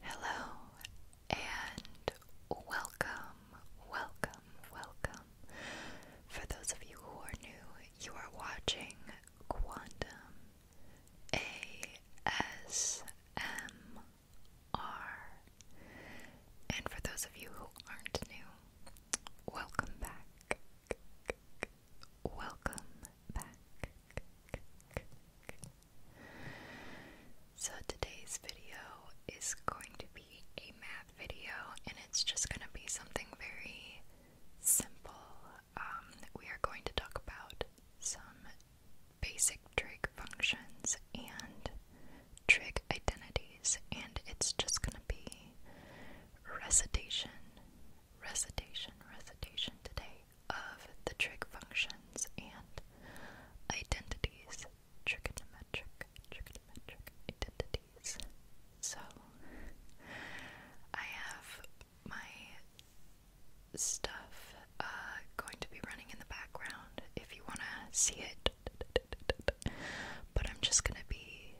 Hello and welcome, welcome, welcome. For those of you who are new, you are watching Quantum ASMR. And for those of you who aren't new, welcome back. Welcome back. So today's video is going to be a math video and it's just going to be something very simple. Um, we are going to talk about some basic trig functions and trig identities and it's just going to be recitation recitation, recitation today of the trig functions and identities, trigonometric, trigonometric identities. So, I have my stuff uh, going to be running in the background if you want to see it, but I'm just going to be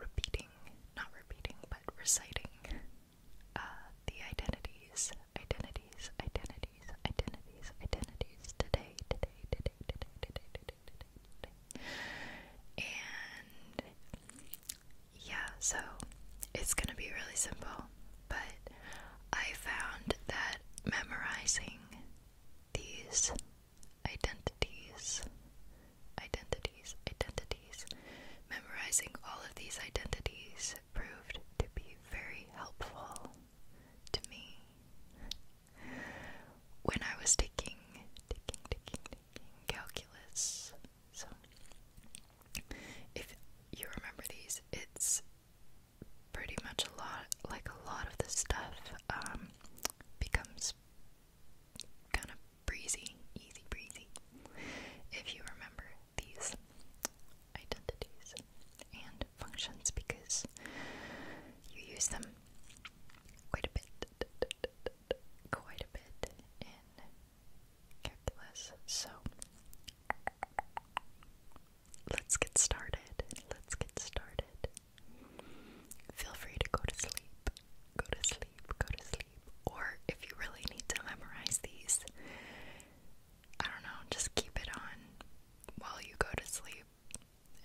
repeating, not repeating, but reciting uh, the identities, identities, identities, identities, identities today, today, today, today, today, today, today, today. And yeah, so it's gonna be really simple, but I found that memorizing these identities, identities, identities, memorizing all of these identities proved to be very helpful to me when I was taking, taking, taking, taking calculus. So, if you remember these, it's pretty much a lot like a lot of the stuff um, becomes kind of breezy, easy breezy. If you remember these, identities and functions because you use them quite a bit, quite a bit in calculus. So let's get started. Let's get started. Feel free to go to sleep. Go to sleep. Go to sleep or if you really need to memorize these, I don't know, just keep it on while you go to sleep.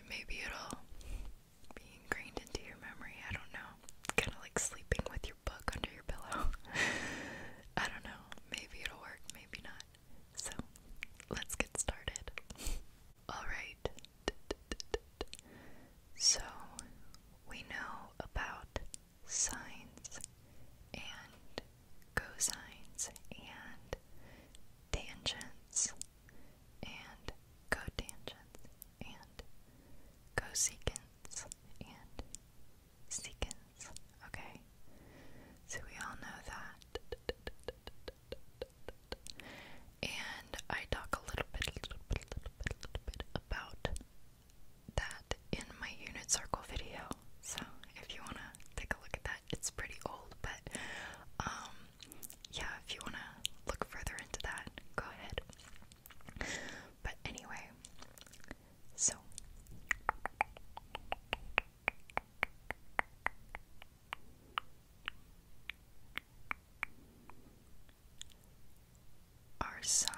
maybe it'll be ingrained into your memory. I don't know. Kind of like sleeping with your book under your pillow. I don't know. Maybe it'll work, maybe not. So, let's get started. Alright. So, we know about sines and cosines and tangents and cotangents and cosecants and secants. Okay, so we all know that. And I talk a little bit, a little bit, a little bit, a little bit about that in my unit circle video. So if you wanna take a look at that, it's pretty old, but um yeah, if you wanna look further into that, go ahead. But anyway, so our sign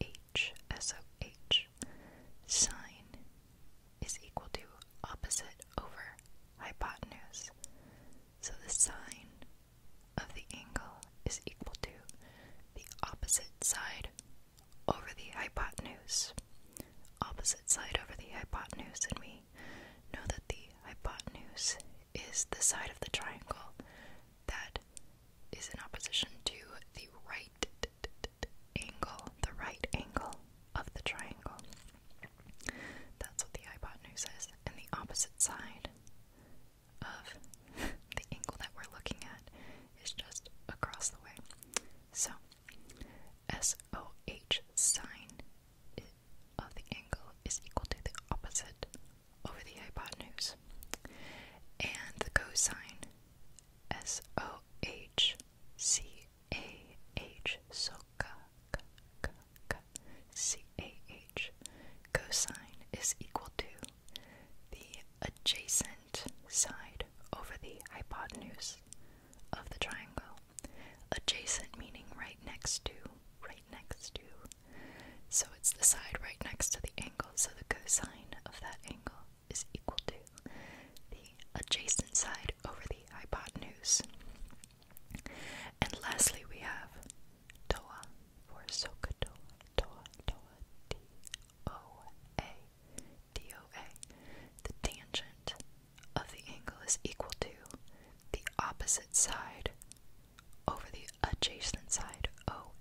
H S O H sine is equal to opposite over hypotenuse. So the sine of the angle is equal to the opposite side over the hypotenuse. Opposite side over the hypotenuse, and we know that the hypotenuse is the side of the triangle that is in opposition to the right angle, the right angle of the triangle. That's what the hypotenuse is, and the opposite side of the angle that we're looking at is just across the way. So, SOH sine of the angle is equal to the opposite over the hypotenuse. And the cosine, S O H C A H, so C A H, cosine is equal to the adjacent side over the hypotenuse of the triangle. Adjacent meaning right next to, right next to. So it's the side right next to the angle so the cosine of that angle is equal to the adjacent side over the hypotenuse. And lastly, we have toa for SOHCAHTOA, toa, toa, The tangent of the angle is equal to the opposite side over the adjacent side, o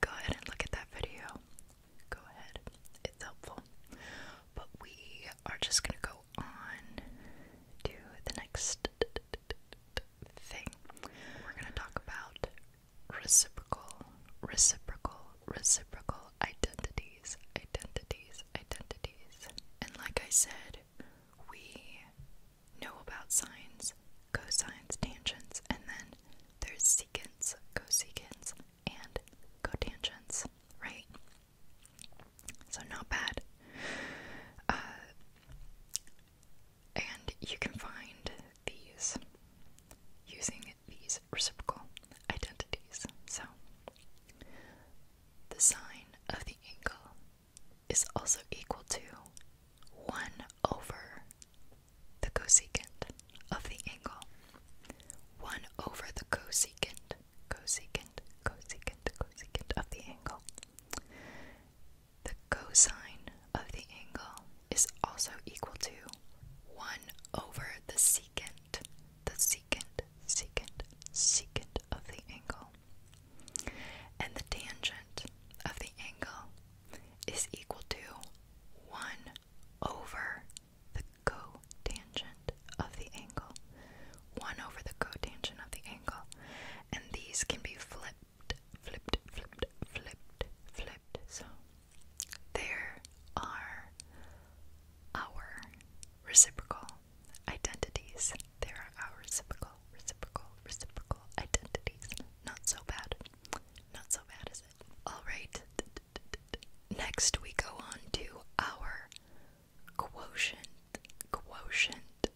go ahead and look at that video. Go ahead, it's helpful. But we are just going to go on to the next thing. We're going to talk about reciprocal, reciprocal, reciprocal identities, identities, identities. And like I said, we know about signs cosines, tangents, and then there's secants, cosecants, and cotangents, right? So not bad. Uh, and you can find these using these reciprocal identities. So the sine of the angle is also equal to 1 over the cosecant of the angle. 1 over the cosecant, cosecant, cosecant, cosecant of the angle. The cosine of the angle is also equal to 1 over the secant, the secant, secant, secant of the angle. And the tangent of the angle is equal to 1 over the cotangent of the angle. 1 over the cotangent of the angle. And these can be flipped, flipped, flipped, flipped, flipped. So there are our reciprocal identities. There are our reciprocal, reciprocal, reciprocal identities. Not so bad. Not so bad, is it? Alright, next we go on to our quotient, quotient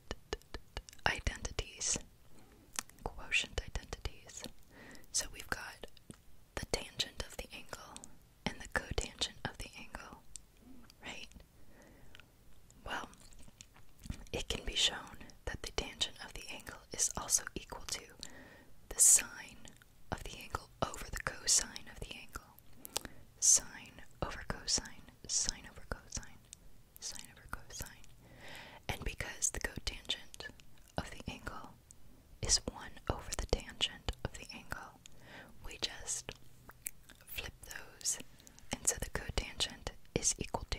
identities. Quotient identities. So we've got the tangent of the angle and the cotangent of the angle, right? Well, it can be shown that the tangent of the angle is also equal to the sine of the angle over the cosine of the angle. Sine over cosine, sine over cosine, sine over cosine. And because the cotangent of the angle is 1 over the tangent of the angle, we just flip those, and so the cotangent is equal to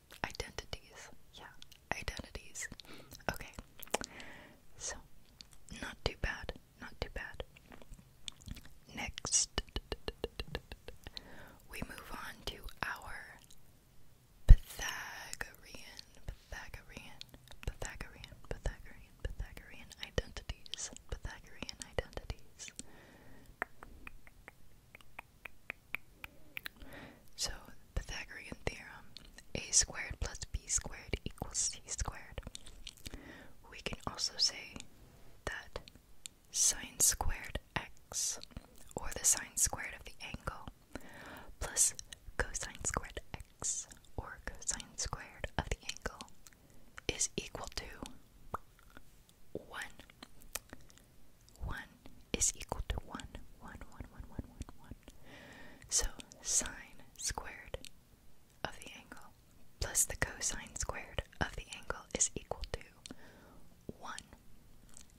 Identities. Yeah, identities. Okay. So, not too bad. Not too bad. Next, we move on to our Pythagorean, Pythagorean, Pythagorean, Pythagorean, Pythagorean identities, Pythagorean identities. So, Pythagorean theorem, a squared plus b squared equals c squared. We can also say that sine squared x, or the sine squared of the angle, plus cosine squared x, or cosine squared of the angle, is equal to 1. 1 is equal to 1, 1, 1, 1, 1, So sine squared of the angle plus the cosine squared of the angle is equal to 1.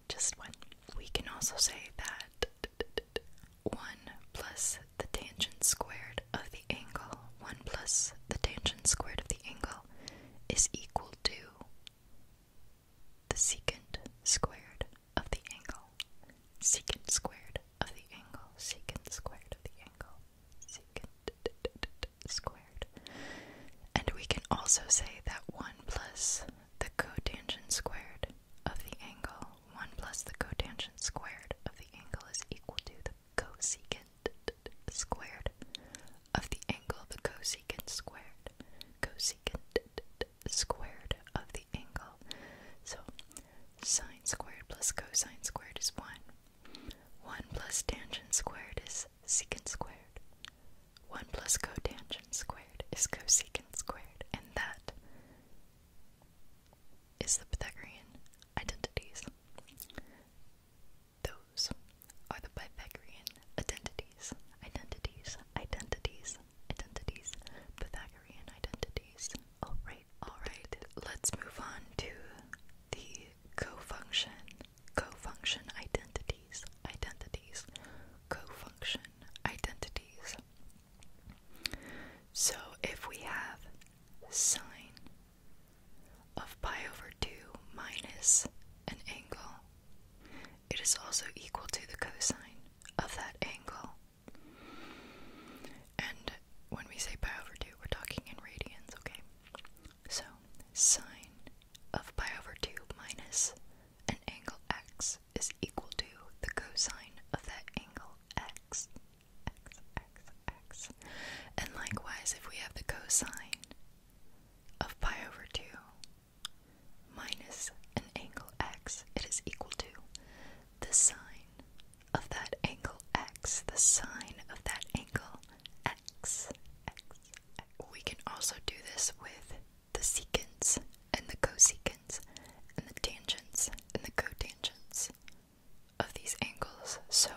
Just 1. We can also say that 1 plus the tangent squared of the angle, 1 plus the tangent squared of the angle is equal to the secant squared of the angle, secant squared of the angle, secant squared of the angle, secant squared. And we can also say that 1 plus the cotangent squared of the angle, 1 plus the cotangent squared of the angle is equal to the cosecant squared of the angle, the cosecant squared, cosecant squared of the angle. So sine squared plus cosine squared is 1. 1 plus tangent squared is secant squared. 1 plus cotangent squared is cosecant squared. And that is the Pythagorean identities. Those are the Pythagorean identities. Identities, identities, identities, Pythagorean identities. Alright, alright, let's move on to the cofunction, cofunction identities, identities, cofunction identities. So if we have sine of pi over 2 minus an angle it is also equal to the cosine of that angle. And when we say pi over 2, we're talking in radians, okay? So, sine of pi over 2 minus an angle x is equal to the cosine of that angle x. X, x, x. And likewise, if we have the cosine of pi over 2 minus an angle x, it is equal to the sine of that angle x, the sine of that angle x, x, We can also do this with the secants and the cosecants and the tangents and the cotangents of these angles. So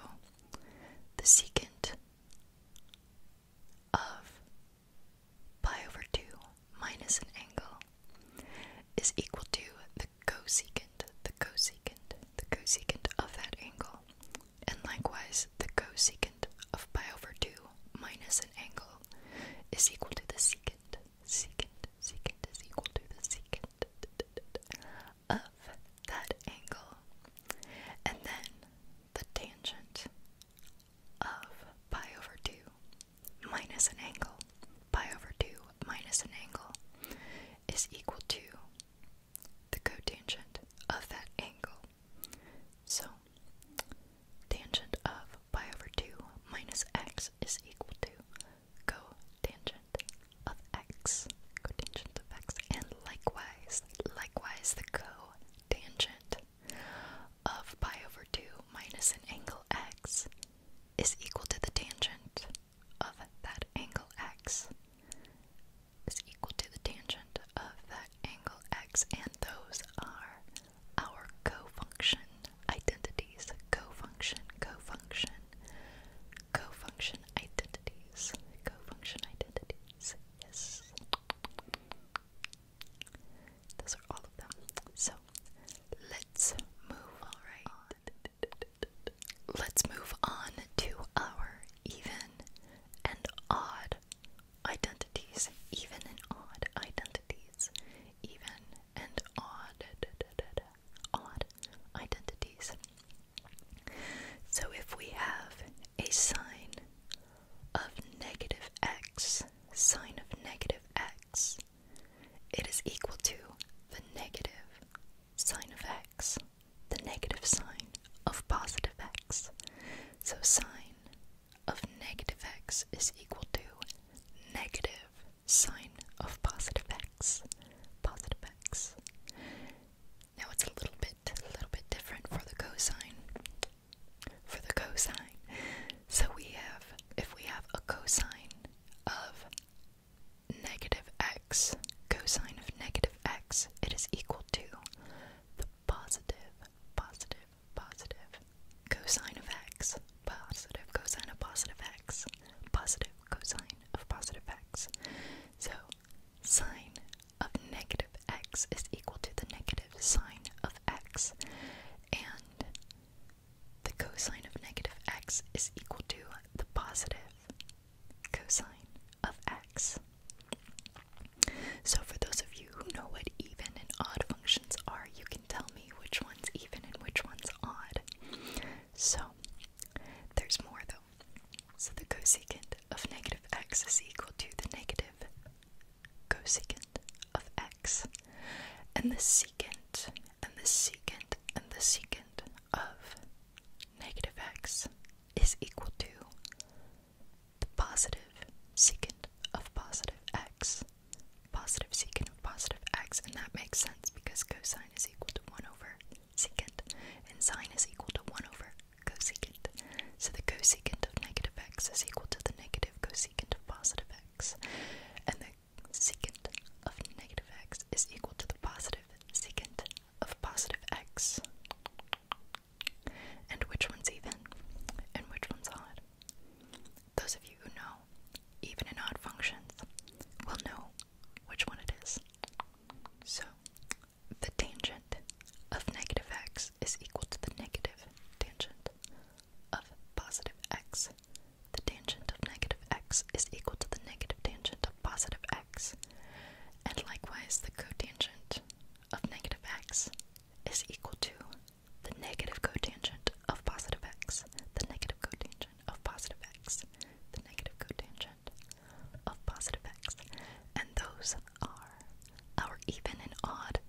the secant of pi over 2 minus an angle is equal to the cosecant, the cosecant, the cosecant of that angle. And likewise, the cosecant of pi over 2 minus an angle is equal to the secant, secant, secant is equal to the secant of that angle. And then the tangent of pi over 2 minus an angle pi over 2 minus an angle is equal to the cotangent of that angle. So, tangent of pi over 2 minus x is equal to cotangent of x. Cotangent of x. And likewise, likewise, the cotangent of pi over 2 minus an angle x is equal to the tangent of that angle x is equal to the tangent of that angle x and those are our cofunction identities cofunction cofunction cofunction identities cofunction identities yes those are all of them. So let's move all right. Let's move on to our even and odd identities. Even and odd identities. Even and odd odd identities. So if we have a sign of negative x sine of negative x. It is equal to the negative sine of x, the negative sine of positive x. So sine of negative x is equal to negative sine of positive x, positive x. Now it's a little bit, a little bit different for the cosine for the cosine. So we have, if we have a cosine of negative x, cosine of negative x, it is equal to the positive, positive, positive cosine of x, positive cosine of positive x, positive cosine of positive x. So sine of negative x is equal to the negative sine of x. And the cosine of negative x is equal to the positive cosine of x. So, for those of you who know what even and odd functions are, you can tell me which one's even and which one's odd. So, there's more though. So, the cosecant of negative x is equal to the negative cosecant of x, and the secant, and the secant, and the secant of negative x is equal to the positive secant of positive x, positive secant of positive x, and that makes sense because cosine is equal to 1 over secant, and sine is equal to 1 over cosecant. So the cosecant of negative x is equal to the negative cosecant of positive x and the secant of negative x is equal to the positive secant of positive x. And which one's even? And which one's odd? Those of you who know even and odd functions will know which one it is. So, the tangent of negative x is equal to the negative tangent of positive x. The tangent of negative x is equal to the negative tangent of positive x, and likewise the cotangent of negative x is equal to the negative cotangent of positive x, the negative cotangent of positive x, the negative cotangent of positive x, and those are our even and odd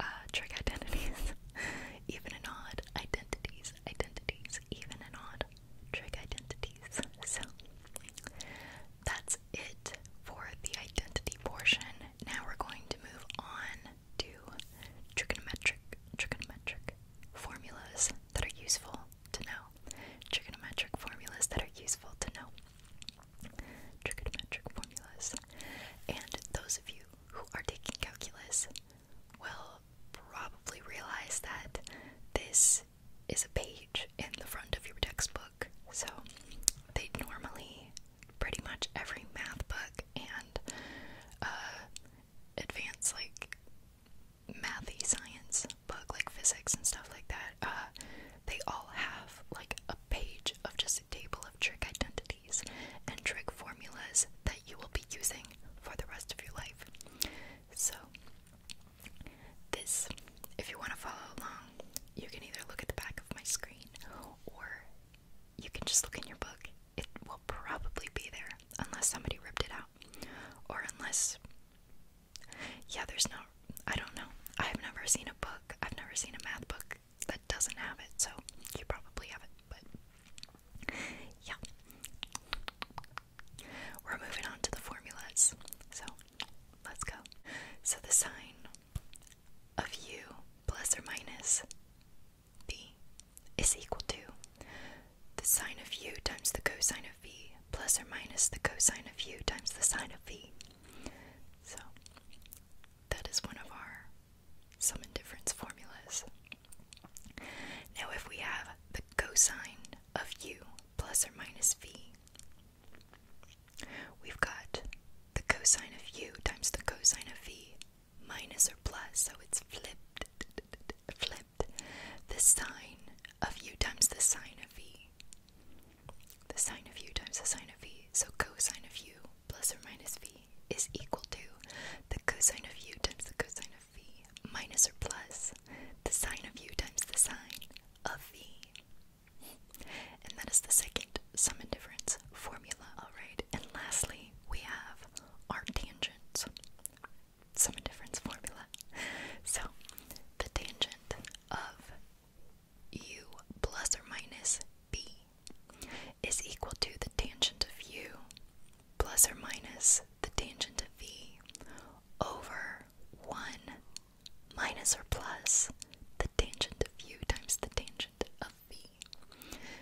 uh, trig identities, even and odd identities, identities, even and odd trig identities. So that's it for the identity portion. Now we're going to move on to trigonometric trigonometric formulas that are useful to know. Trigonometric formulas that are useful to know. Trigonometric formulas. And those of you who are taking calculus will probably realize that this is a page in the front of your textbook. So they normally, pretty much every math book and uh, advanced like mathy science book, like physics and stuff like that, uh, they all have like a page of just a table of trick identities and trick formulas that you will be using for the rest of your life. So, this, if you want to follow along, you can either look at the back of my screen or you can just look in your book. It will probably be there unless somebody ripped it out. Or unless, yeah, there's no, I don't know. I've never seen a book, I've never seen a math book that doesn't have it, so you probably have it, but yeah. We're moving on to the formulas, so let's go. So the sine of u plus or minus b is equal to the sine of u times the cosine of v plus or minus the cosine of u times the sine of v. So that is one of our some indifference formulas. Now, if we have the cosine of u plus or minus v, we've got the cosine of u times the cosine of v minus or plus, so it's flipped, flipped, the sine of u times the sine of v. The sine of u times the sine of v, so cosine of u plus or minus v is equal to the cosine of u times the cosine of v minus or plus the sine of u times the sine of v. And that is the second sum and difference formula. Alright, and lastly, we have our tangent sum and difference formula. So, the tangent of u plus or minus b is equal to the tangent of u plus or minus the tangent of v over 1 minus or plus the tangent of u times the tangent of v.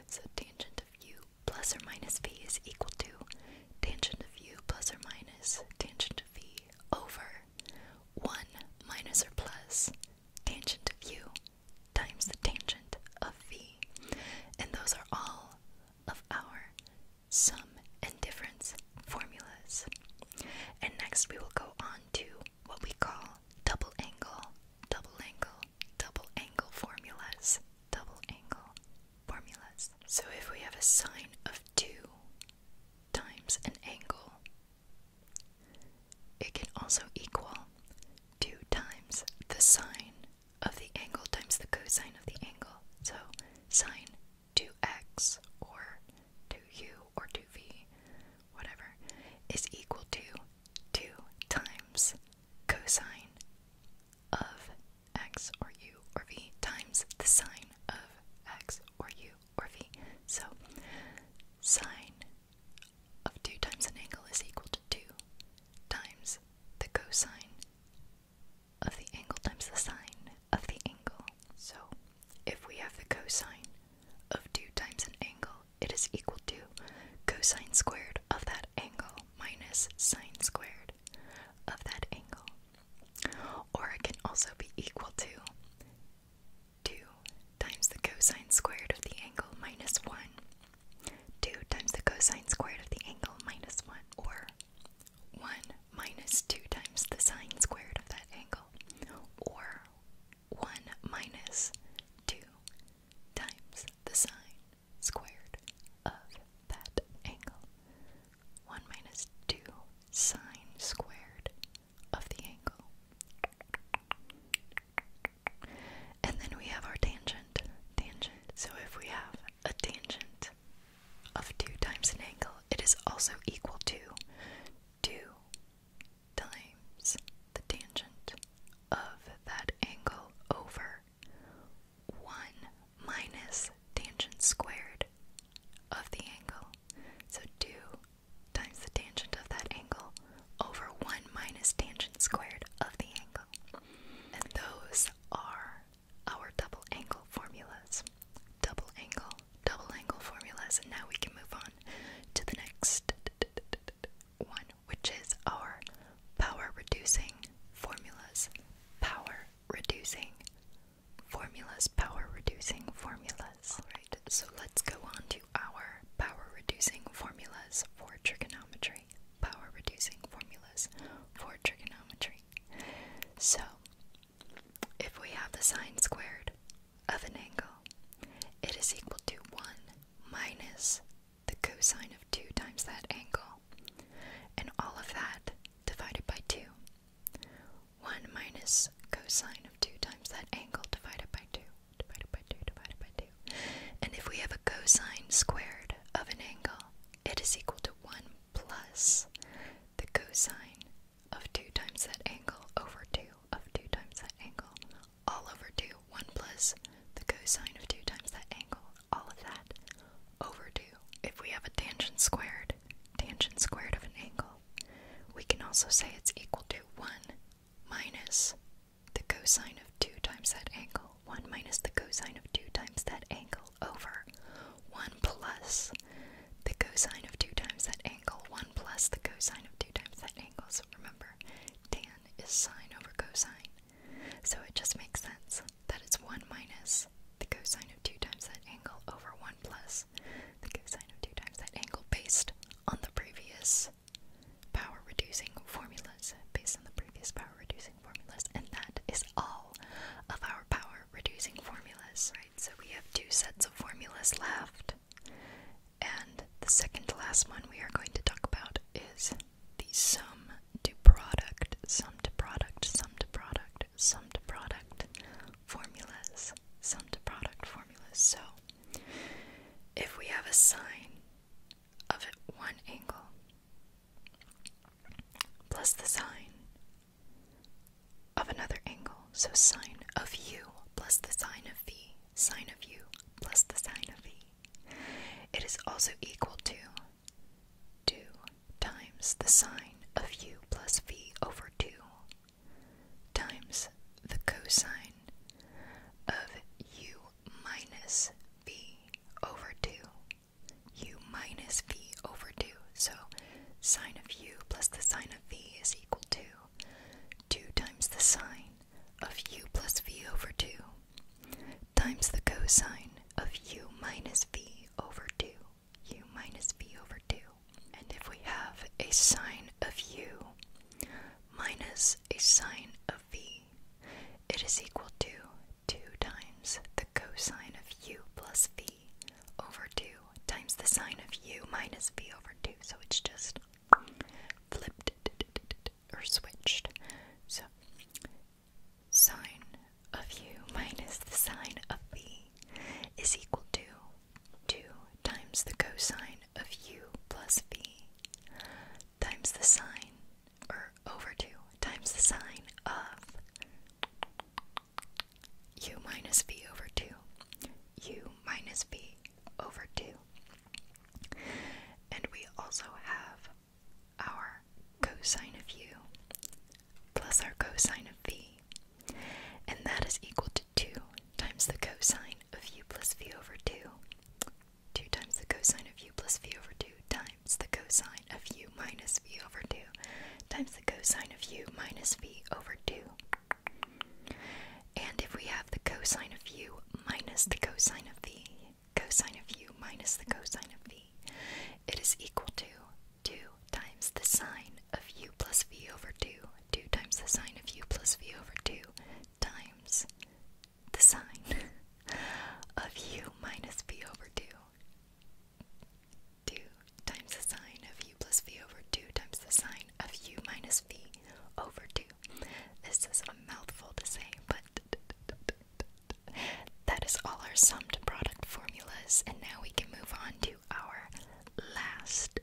So tangent of u plus or minus v is equal to tangent of u plus or minus tangent of v over 1 minus or plus tangent of u times the tangent of v, and those are all of our sum and difference formulas. And next we will go on to what we call double angle, double angle, double angle formulas, double angle formulas. So if we have a sine of 2 times an angle, it can also equal 2 times the sine of the angle times the cosine of the angle. So sine 2x or 2u or 2v, whatever, is equal to 2 times cosine of x or u or v times the sine of x or u or v. So sine of 2 times an angle is equal to 2 times the cosine of the angle times the sine of the angle. So, if we have the cosine of 2 times an angle, it is equal to cosine squared of that angle minus sine squared of that angle. Or it can also be equal to 2 times the cosine squared of the angle minus 1. 2 times the cosine squared of the angle minus 1. Or 1 minus 2 times the sine squared of that angle. Or 1 minus 2 times the sine squared of that angle. 1 minus 2 sine squared of the angle and then we have our tangent. Tangent. So if we have a tangent of 2 times an angle, it is also equal to 2 times the tangent of that angle over 1 minus tangent squared of the angle. So 2 times the tangent of that angle over 1 minus tangent squared of the angle. And those are our double angle formulas. Double angle, double angle formulas. And now we can move on to the next one, which is our power reducing formulas. Power reducing formulas, power reducing formulas. Alright, so let's go on to our power-reducing formulas for trigonometry. Power-reducing formulas for trigonometry. So, if we have the sine squared of an angle, it is equal to 1 minus the cosine of 2 times that angle, and all of that divided by 2. 1 minus cosine of 2 times that angle divided by 2 divided by 2 divided by 2. And if we have a cosine squared of an angle, it is equal to 1 plus the cosine of 2 times that angle over 2 of 2 times that angle all over 2. 1 plus the cosine of 2 times that angle, all of that over 2. If we have a tangent squared, tangent squared of an angle, we can also say it's equal to 1 minus the cosine of 2 times that angle, 1 minus the cosine of 2 times that angle over 1 plus the cosine of 2 times that angle, 1 plus the cosine of 2 times that angle. So remember, tan is sine over cosine. So it just makes sense that it's 1 minus the cosine of 2 times that angle over 1 plus the cosine of 2 times that angle based on the previous power reducing formulas based on the previous power reducing formulas, and that is all of our power reducing formulas, right? So we have two sets of formulas left, and the second last one we are going to talk about is the sum to product, sum to product, sum to product, sum to product formulas, sum to product formulas. So if we have a sign of one angle plus the sine of another angle. So sine of u plus the sine of v, sine of u plus the sine of v. It is also equal to 2 times the sine of u plus v over 2 times the cosine of u minus v over 2. u minus v over 2. So sine of u plus the sine of v is equal to 2 times the sine of u plus v over 2 times the cosine of u minus v over 2 u minus v over 2. And if we have a sine of u minus a sine of v. It is equal to 2 times the cosine of u plus v over 2 times the sine of u minus v over 2. So it's just flipped or switched. So sine of u minus the sine of v is equal to 2 times the cosine of u plus v times the sine, or over 2 times the sign of u minus v over 2, u minus v over 2. And we also have our cosine of u plus our cosine of v. And that is equal to 2 times the cosine of u plus v over 2 2 times the cosine of u plus v over 2 times the cosine of u minus v over 2 times the cosine of u minus v over 2. And if we have the cosine of u minus the cosine of v, cosine of u minus the cosine of v, it is equal to 2 times the sine of u plus v over 2, 2 times the sine of u plus v over 2 times the sine of u minus v over 2. 2 times the sine of u plus v over 2 times the sine of u minus v over 2. This is a mouthful to say, but that is all our summed product formulas, and now we can move on to our last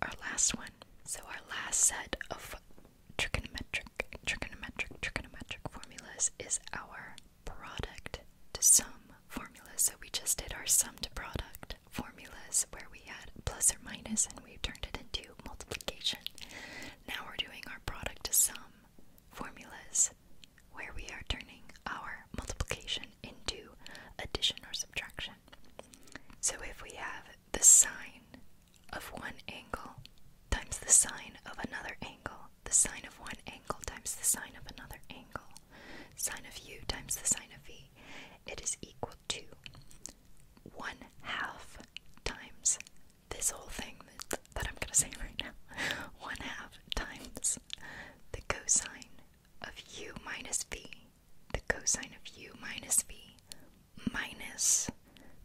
our last one. So our last set of trigonometric trigonometric, trigonometric formulas is our product to sum formula. So we just did our sum to product formulas where we had plus or minus and we turned it into multiplication. Now we're doing our product to sum formulas where we are turning our multiplication into addition or subtraction. So if we have the sine of one angle times the sine of another angle, the sine of one angle times the sine of another angle, sine of u times the sine of v, it is equal to one half times this whole thing that, I'm going to say right now. One half times the cosine of u minus v, the cosine of u minus v minus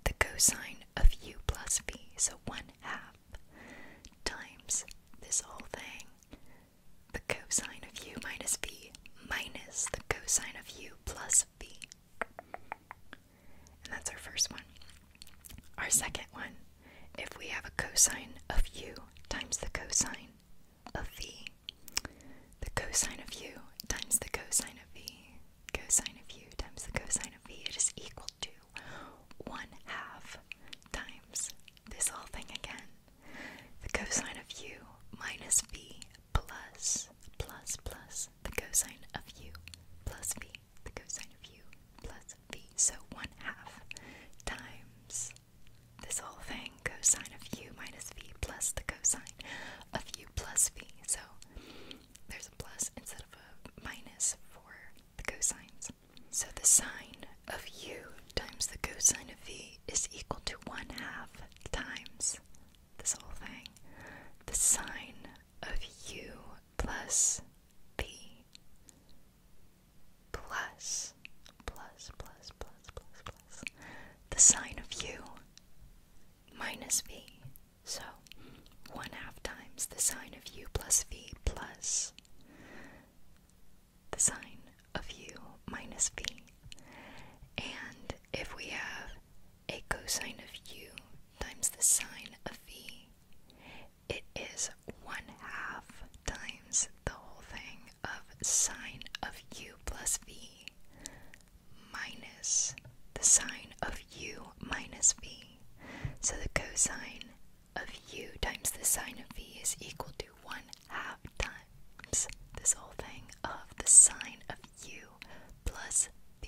the cosine of u plus v, so 1 half times this whole thing, the cosine of u minus v minus the cosine of u plus v. And that's our first one. Our second one, if we have a cosine of u times the cosine of v, the cosine of u times the cosine of v cosine of u times the cosine of v, is equal to 1 half times this whole thing again. The cosine of u minus v plus, plus, plus the cosine of u plus v, the cosine of u plus v. So 1 half times this whole thing, cosine of u minus v plus the cosine of u plus v. So there's a plus instead of a minus for the cosines. So the sine of u times the cosine of v is equal to 1 half times this whole thing. The sine of u plus v plus, plus, plus, plus, plus, plus, the sine of u minus v so 1 half times the sine of u plus v plus the sine of u minus v. And if we have a cosine of u times the sine of v, it is 1 half times the whole thing of sine of u plus v minus the sine of u minus v. So the cosine of u times the sine of v is equal to 1 half times this whole thing of the sine of u plus v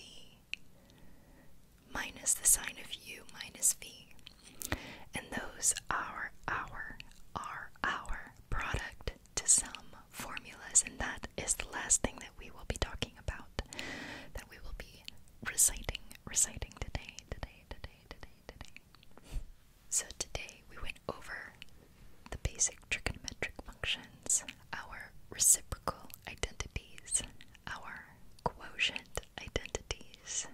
minus the sine of u minus v. And those are our, our, our product to sum formulas, and that is the last thing that we will be talking about, that we will be reciting, reciting today, today, today, today, today. So today we went over the basic trigonometric functions, our reciprocal identities, our quotient identities,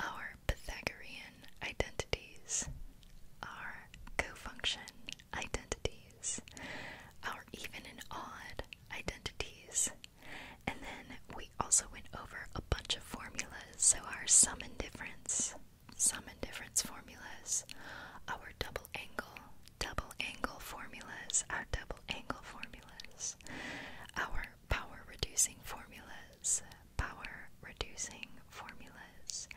our Pythagorean identities, our cofunction identities, our even and odd identities. And then we also went over a bunch of formulas. So, our sum and difference, sum and difference formulas, our double angle, double angle formulas, our double angle formulas, our power reducing formulas, power reducing formulas,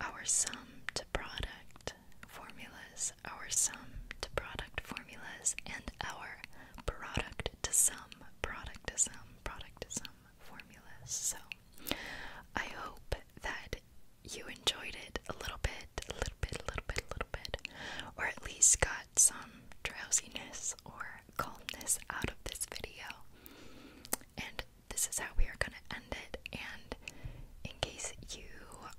our sum to product, formulas, our sum to product formulas, and our product to sum, product to sum, product to sum formulas. So I hope that you enjoyed it a little bit, a little bit, a little bit, a little bit, or at least got some drowsiness or calmness out of this video. And this is how we are going to end it. And in case you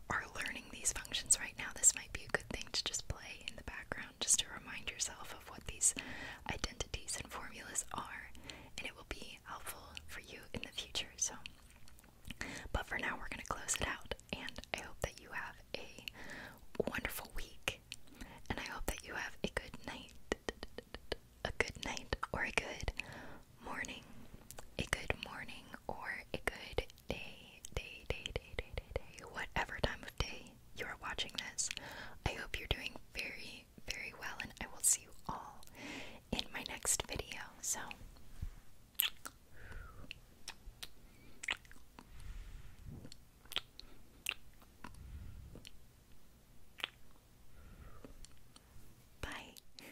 are learning these functions right now, this might be a good thing to just play in the background just to remind yourself of what these identities and formulas are, and it will be helpful for you in the future. So, but for now, we're going to close it out, and I hope that you have a wonderful week, and I hope that you have a good night, a good night, or a good morning, a good morning, or a good day, day, day, day, day, day, day, whatever time of day you are watching this. I hope you're doing very, very well, and I will see you all in my next video. So, bye.